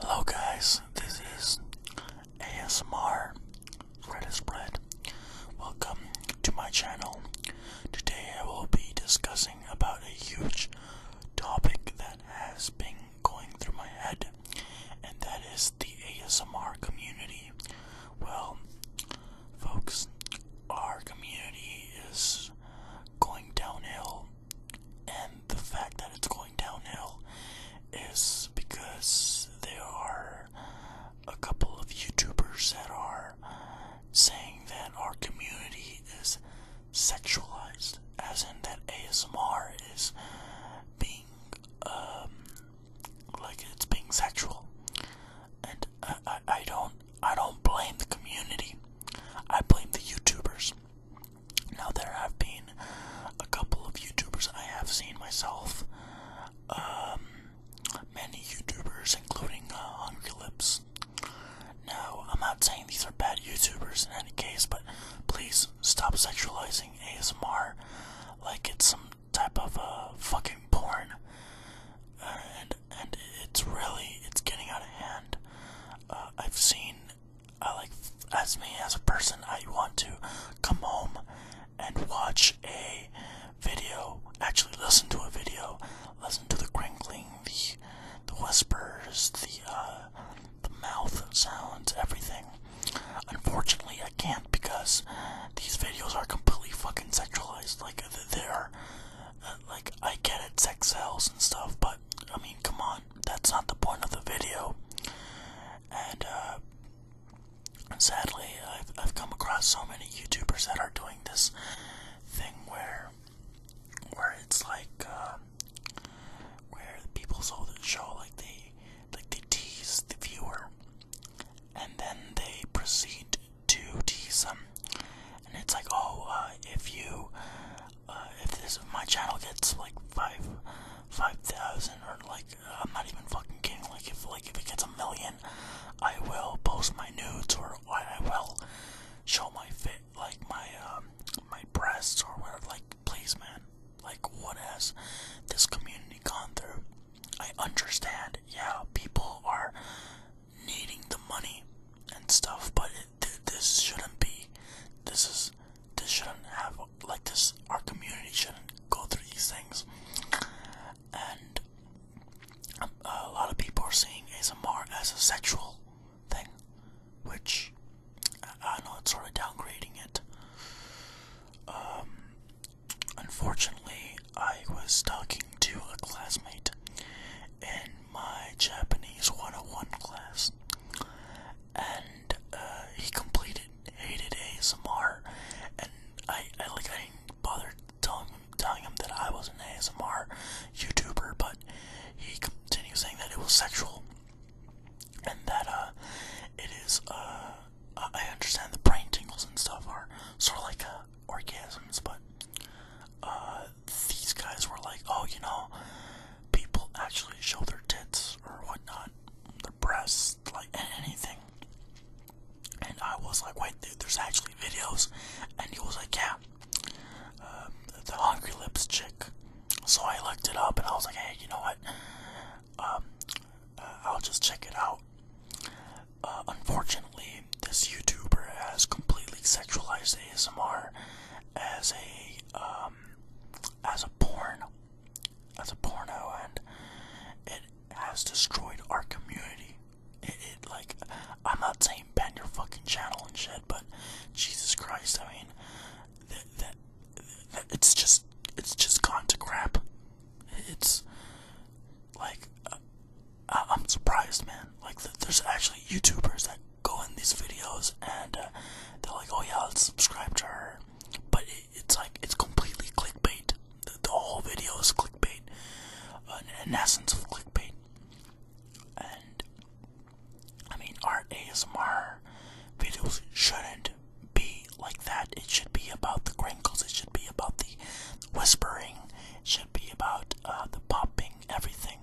Hello guys, this is ASMR Red is Bread. Welcome to my channel. Today I will be discussing about a huge topic that has been going through my head, and that is the ASMR community. Well, folks, our community is going downhill and the fact that it's going downhill is because there are a couple of YouTubers that are saying that our community is sexualized, as in that ASMR is being, um, like it's being sexual, and I, I, don't, I don't blame the community. I blame the YouTubers. Now there have been a couple of YouTubers I have seen myself. Um, many YouTubers, including uh, Hungry Lips. Now, I'm not saying these are bad YouTubers in any case, but please stop sexualizing ASMR like it's some type of uh, fucking porn. Uh, and and it's really it's getting out of hand. Uh, I've seen, I uh, like, as me as a person, I want to come home and watch a video, actually listen to a video, listen to the crinkling, the, the whispers, the, uh, the mouth sounds, everything. Unfortunately, I can't because these videos are completely fucking sexualized. Like, they're, uh, like, I get it, sex sells and stuff, but I mean, come on, that's not the point of the video. And uh, sadly, I've, I've come across so many YouTubers that are doing this thing where, where it's like, uh, where people show the show like they, like they tease the viewer, and then they proceed to tease them and it's like, oh, uh, if you, uh, if this my channel gets like five, five thousand, or like, I'm not even fucking kidding. Like, if like if it gets a million, I will post my nudes or I will show my fit, like my um, my breasts or whatever. Like, please, man. Like, what has this community gone through? I understand. Yeah, people are needing the money and stuff, but this shouldn't be. This is this shouldn't have like this. Our community shouldn't go through these things. And a, lot of people are seeing ASMR as a sexual thing, which I, I know it's sort of downgrading it. Um, unfortunately, I was talking to a classmate, and my Japanese 101 class, and uh, he completed hated ASMR, and I, I like I didn't bother telling him telling him that I was an ASMR YouTuber, but he continued saying that it was sexual, and that uh, it is uh, I understand the brain tingles and stuff are sort of like uh, orgasms, but uh, these guys were like, oh, you know, people actually show their tits or whatnot, their breasts, like anything. And I was like, wait, there's actually videos. And he was like, yeah, uh, the Hungry Lips chick. So I looked it up and I was like, hey, you know what? Um, uh, I'll just check it out. Uh, unfortunately, this YouTuber has completely sexualized ASMR as a um, as a porn, as a porno, and it has destroyed our community. It, like, I'm not saying ban your fucking channel and shit, but Jesus Christ, I mean, that that it's just it's just gone to crap. It's like. Uh, I am surprised, man. Like, there's actually YouTubers that go in these videos and uh, they're like, oh yeah, subscribe to her. But it's like, it's completely clickbait. The, whole video is clickbait. an essence of clickbait. And, I mean, our ASMR videos shouldn't be like that. It should be about the crinkles, it should be about the whispering, should be about uh, the popping, everything.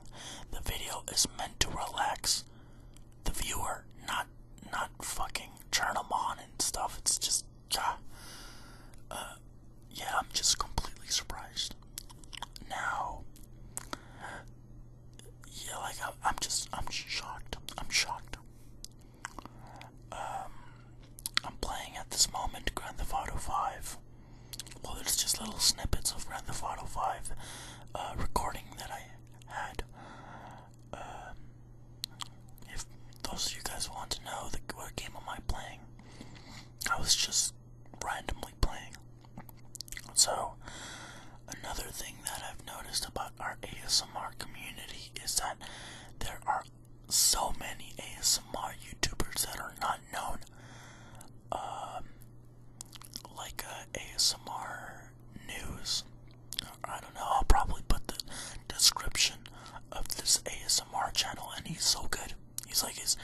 The video is meant to relax the viewer, not not fucking turn them on and stuff. It's just, ah, uh, yeah, I'm just completely surprised. Now, yeah, like I'm just, I'm shocked. I'm shocked. Um, I'm playing at this moment Grand Theft Auto 5. Well, there's just little snippets of Grand Theft Auto 5 uh, recording that I had. Um, if those of you guys want to know, what game am I playing? I was just randomly playing. So, another thing that I've noticed about our ASMR community is that there are so many ASMR YouTubers that are not known. Um, like uh, ASMR news. I don't know. I'll probably put the description of this ASMR channel, and he's so good. He's like he's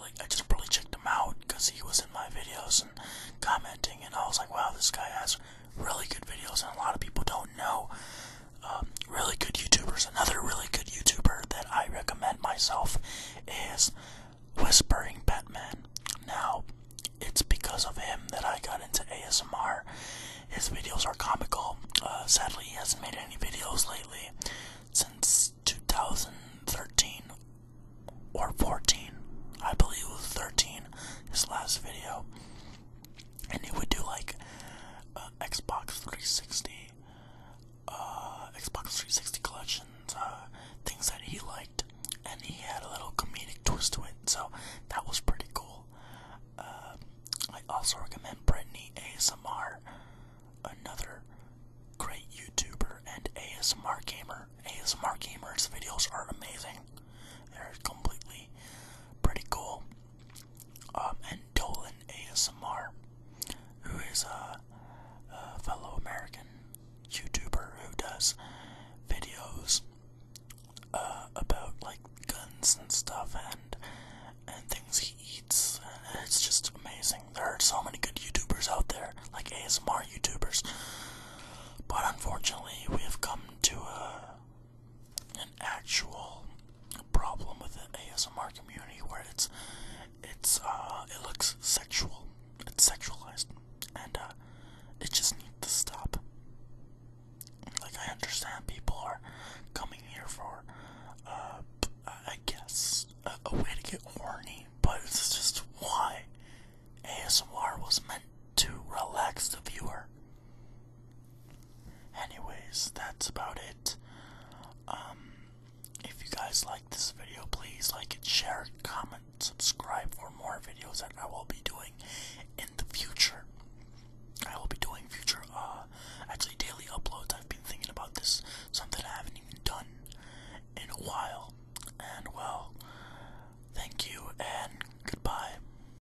like I just probably checked him out because he was in my videos and commenting, and I was like, wow, this guy has really good videos, and a lot of people don't know um, really good YouTubers. Another really good YouTuber that I recommend myself is Whispering Batman. Now, it's because of him that I got into ASMR. His videos are comical. Uh, sadly, he hasn't made any videos lately since 2013 or 14. I believe was 13, his last video and he would do like uh, Xbox 360, uh, Xbox 360 collections, uh, things that he liked, and he had a little comedic twist to it, so that was pretty cool. I also recommend Brittany ASMR, another great YouTuber and ASMR gamer. ASMR gamers' videos are amazing. They're completely pretty cool. Um, and Dolan ASMR, who is a, fellow American YouTuber who does videos uh, about like guns and stuff and and things he eats. it's just amazing. There are so many good YouTubers out there, like ASMR YouTubers. But unfortunately, we have come to a an actual problem with the ASMR community where it's it's uh, it looks sexual, it's sexualized, and uh, it just needs to stop. Like I understand people are coming here for uh, I guess a way to get horny, but it's just why ASMR was meant to relax the viewer. Anyways, that's about it. Um, if you guys like this video, please like it, share it, comment, subscribe for more videos that I will be doing in the future. I will be doing future, uh, actually daily uploads. I've been thinking about this, something I haven't even done in a while. And well, thank you and goodbye.